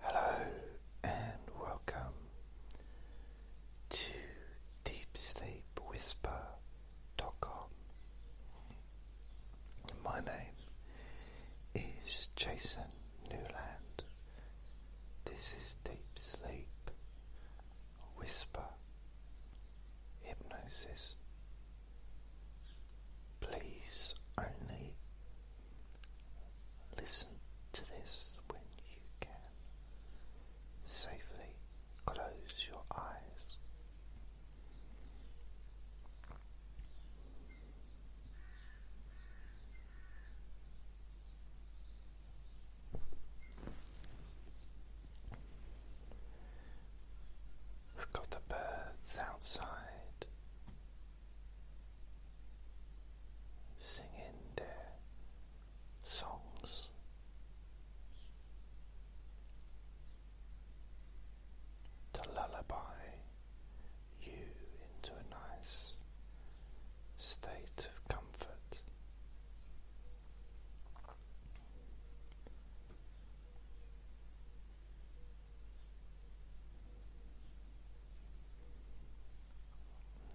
Hello and welcome to Deep Sleep Whisper. Com. My name is Jason Newland. This is Deep Sleep Whisper Hypnosis. Please only Listen to this when you can. Safely close your eyes. We've got the birds outside singing their songs. To lullaby you into a nice state of comfort,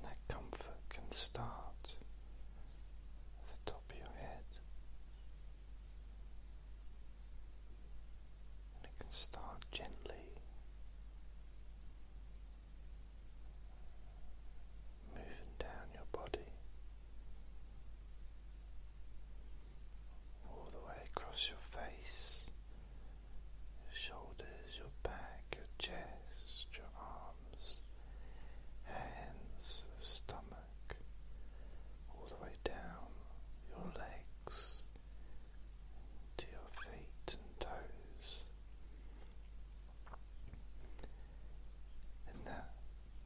that comfort can start at the top of your head, and it can start gently moving down your body. All the way across your face, your shoulders, your back, your chest, your arms, hands, stomach, all the way down your legs to your feet and toes. And that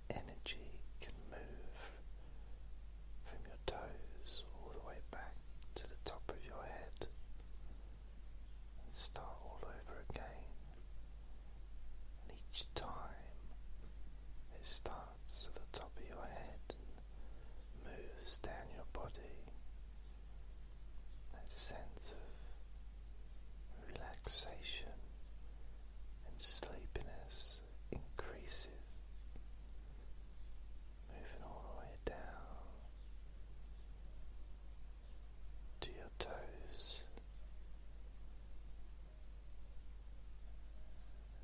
energy can move from toes all the way back to the top of your head and start all over again. And each time it starts at the top of your head moves down your body. That sense of relaxation and sleepiness increases moving all the way down to your toes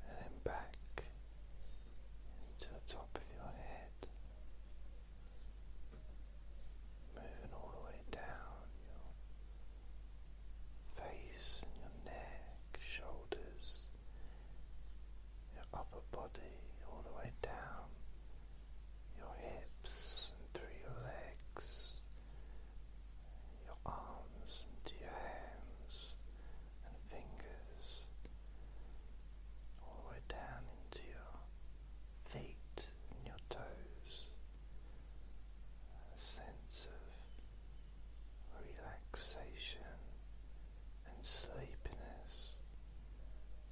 and then back into the top of your head. Moving all the way down your face and your neck, shoulders, your upper body all the way down, your hips and through your legs, your arms into your hands and fingers, all the way down into your feet and your toes. A sense of relaxation and sleepiness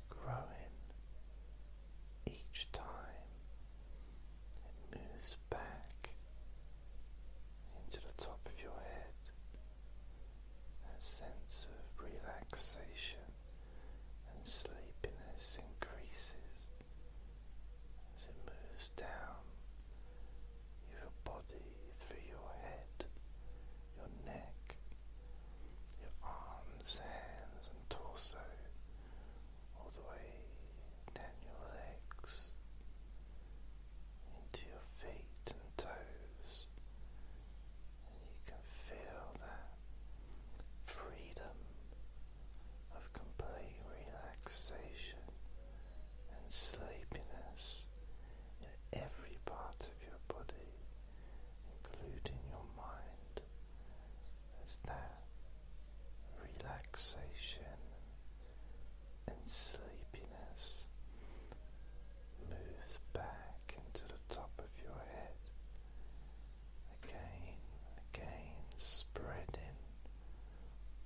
growing each time it moves back into the top of your head. That sense of relaxation and sleepiness increases as it moves down your body through your head your neck, your arms, hands, and torso, all the way down your legs, into your feet and toes, and you can feel that freedom of complete relaxation and sleepiness in every part of your body including your mind, as that relaxation and sleepiness moves back into the top of your head. Again, again, spreading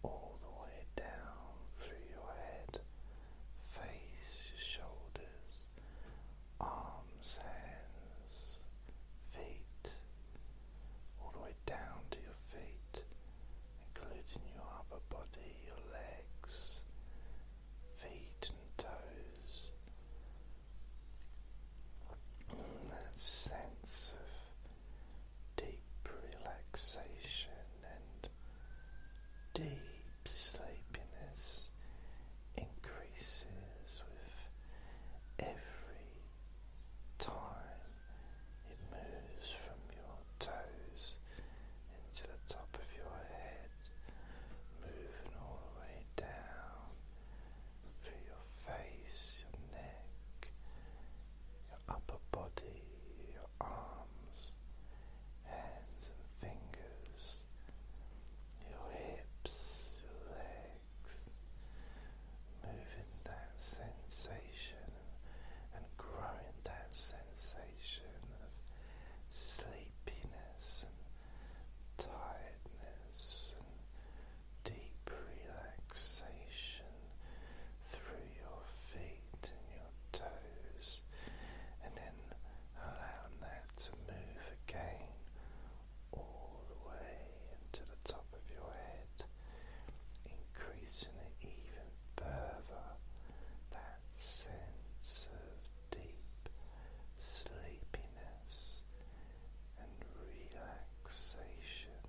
all the way down through your head, face, your shoulders, arms, hands, feet, all the way down to your feet, including your upper body, your legs, feet and toes. that sense of deep relaxation and deep sleepiness increases with every time it moves from your toes into the top of your head, moving all the way down through your face, your neck, your upper body, your arms, hands and fingers your hips, your legs, moving that sensation and growing that sensation of sleepiness and tiredness and deep relaxation through your feet and your toes and then allowing that to move again all the way into the top of your head, increasing it even further. That sense of deep sleepiness and relaxation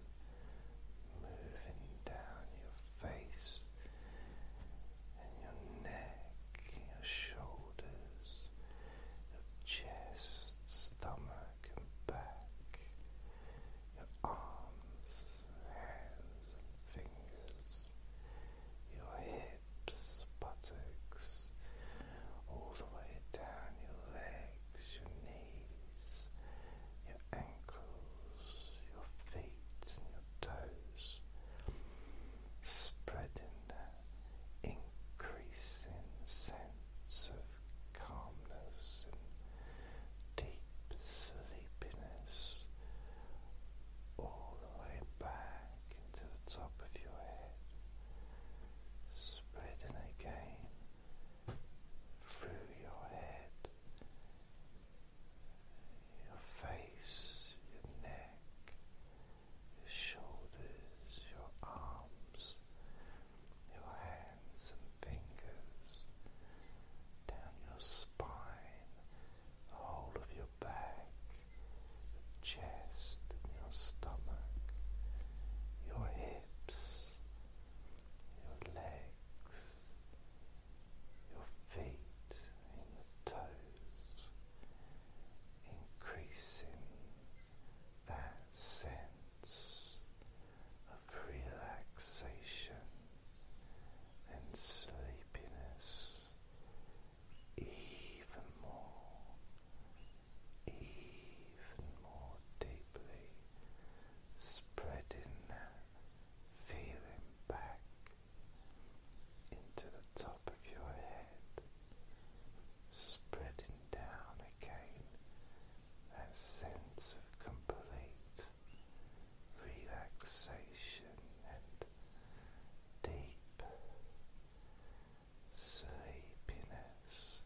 moving down your face your neck, your shoulders, your chest, stomach, and back, your arms, hands, and fingers, your hips, buttocks, all the way down your legs, your knees, your ankles, your feet, and your toes. Spreading that increasing sense of calmness and deep sleepiness all the way back into the top of your head, spreading again through your head. Your face, your neck, your shoulders, your arms, your hands and fingers, down your spine, the whole of your back, your chest your stomach, your hips, your legs, your feet and your toes increasing that sense of relaxation and sleepiness even more, even more deeply, spreading that feeling back into the top of your head, spreading down again that sense of complete relaxation and deep sleepiness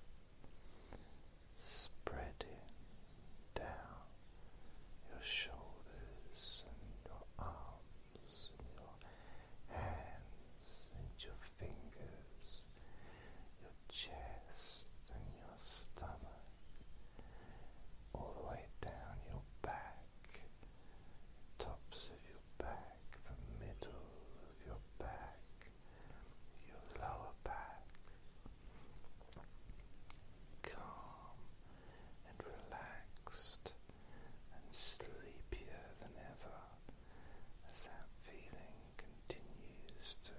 spreading down your shoulders and your arms your hands and your fingers, your chest and your stomach, all the way down your back, tops of your back, the middle of your back, your lower back. Calm and relaxed and sleepier than ever as that feeling continues to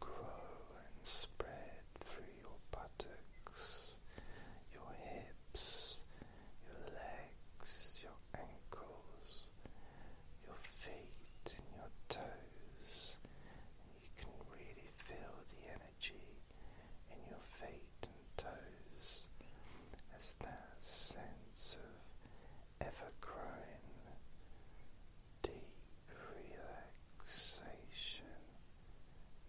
grow and spread through your buttocks, your hips, your legs, your ankles, your feet, and your toes. And you can really feel the energy in your feet and toes as that sense of ever growing deep relaxation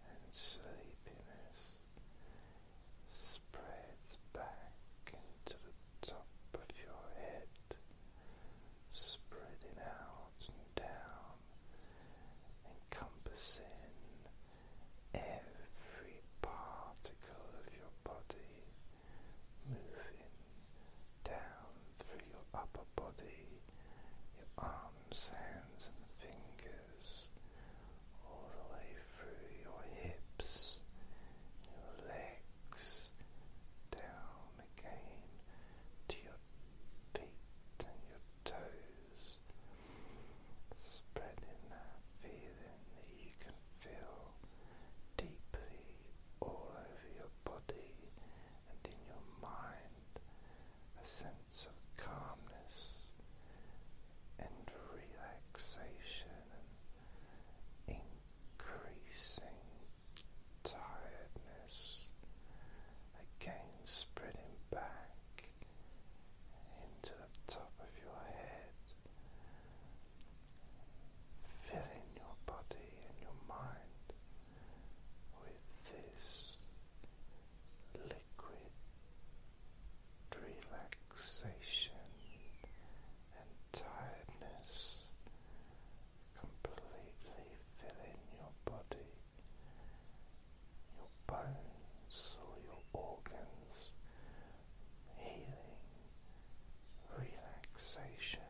and sleepiness spreads back into the top of your head, spreading out and down, encompassing every particle of your body moving down through your upper body, your arms, hands, and fingers, all the way through your hips, your legs, down again to your feet and your toes spreading that feeling that you can feel deeply all over your body and in your mind a sense of calmness and relaxation and increasing tiredness again spreading back into the top of your head, filling your body and your mind with this liquid relaxation and tiredness, completely filling your body. Your bones, or your organs healing, relaxation,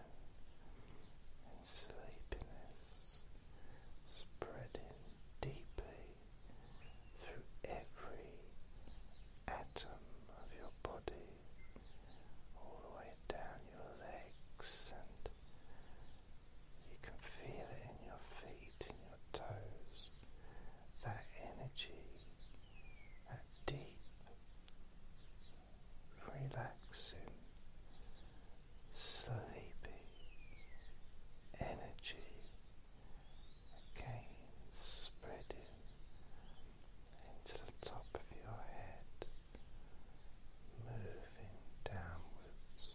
and sleepiness spreading deeply through every atom of your body, all the way down your legs, and you can feel it in your feet, in your toes, that energy. A deep, relaxing, sleepy energy again spreading into the top of your head, moving downwards,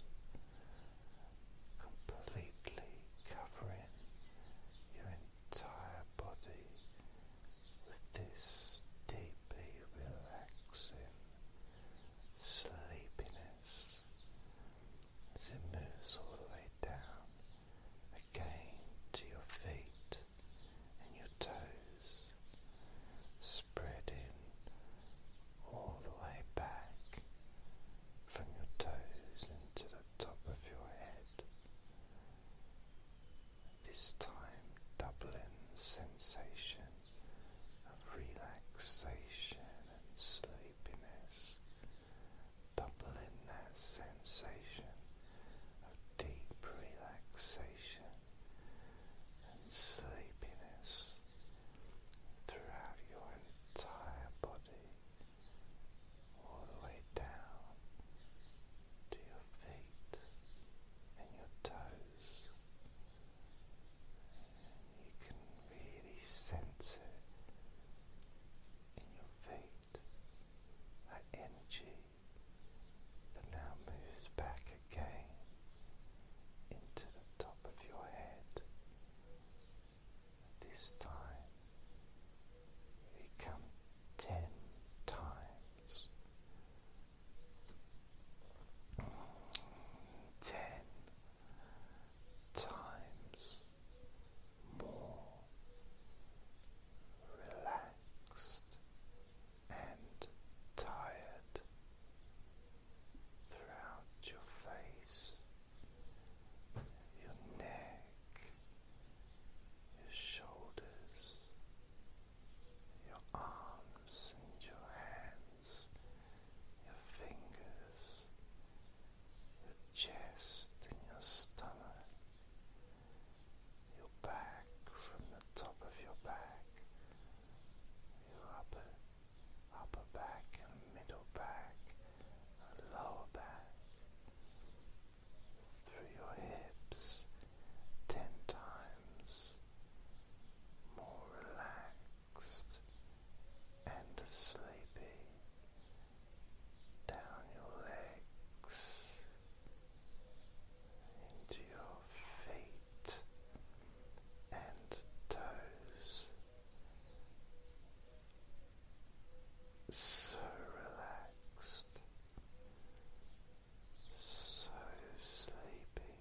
completely covering your entire body with this deeply relaxing sleepiness as it moves all the way down again to your feet and your toes, spreading all the way back from your toes into the top of your head, this time doubling sensation of relaxation and sleepiness, doubling that sensation of deep relaxation and sleepiness throughout your entire body all the way down to your feet and your toes. you can really sense it in your feet, that energy that now moves back again into the top of your head this time it come ten times. Ten times more relaxed and tired throughout your face, your neck, your shoulders, your arms, and your hands, your fingers, your chest, and your stomach, your back from the top of your back, your upper. Upper back and middle back and lower back, through your hips ten times more relaxed and sleepy down your legs into your feet and toes so relaxed, so sleepy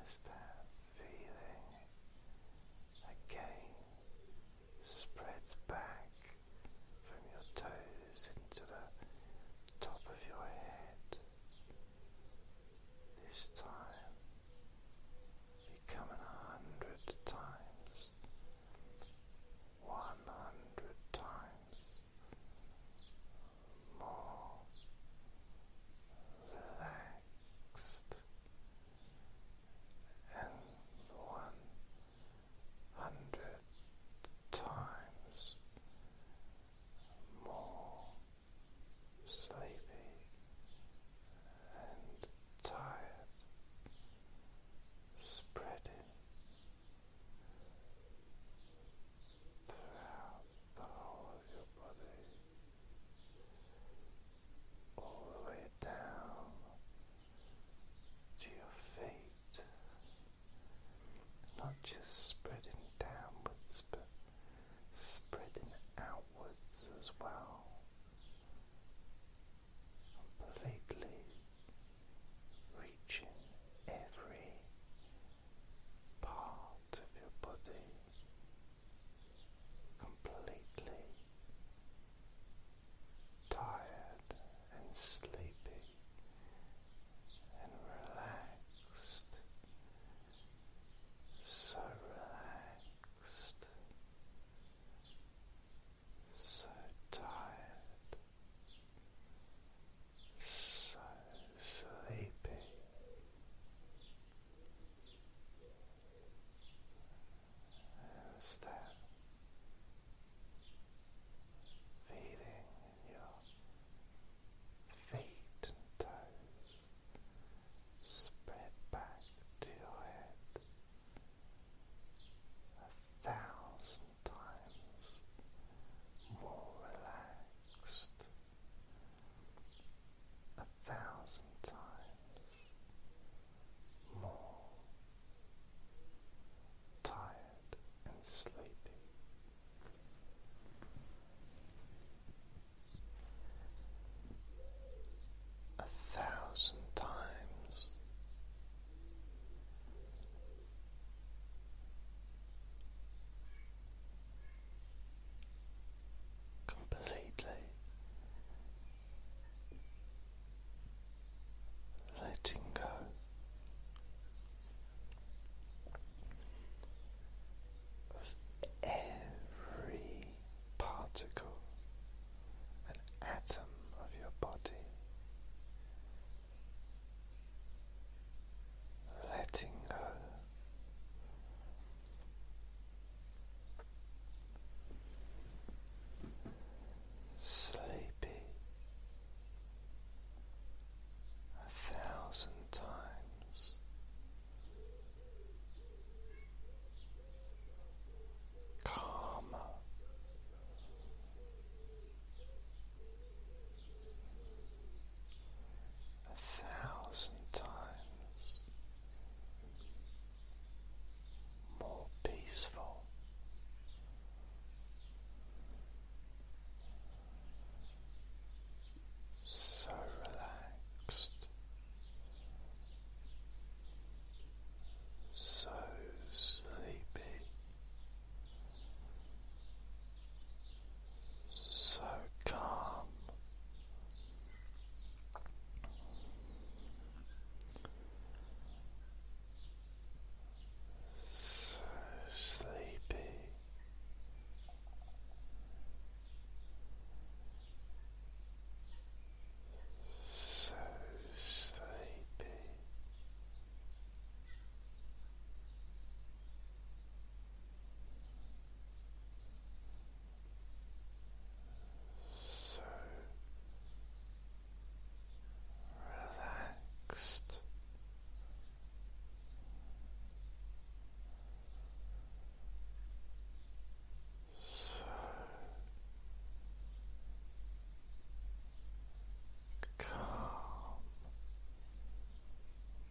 as that feeling again spreads back from your toes into the top of your head. This time becoming a hundred times one hundred times more relaxed and one hundred times more sleepy and tired spreading throughout the whole of your body, all the way down to your feet, not just spreading downwards but spreading outwards as well completely reaching every part of your body completely tired and sleepy and relaxed so relaxed so tired, so sleepy. Is feeling in your feet and toes spread back to your head? a thousand times more relaxed, a thousand times more tired and sleepy. A thousand times Completely letting go. Of every particle an atom of your body, letting go. Sleepy a thousand times, calm. A thousand times more peaceful. So relaxed, so sleepy, so calm. So sleepy, so sleepy. So relaxed, so calm so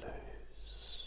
loose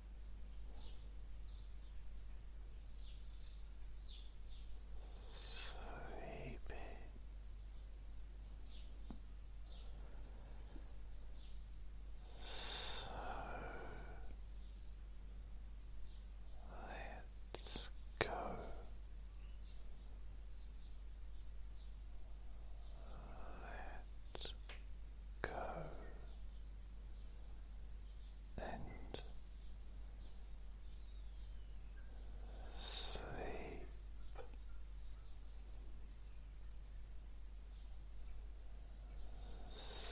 Sleepy. So let's go. let go and sleep. Sleep.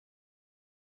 Sleep.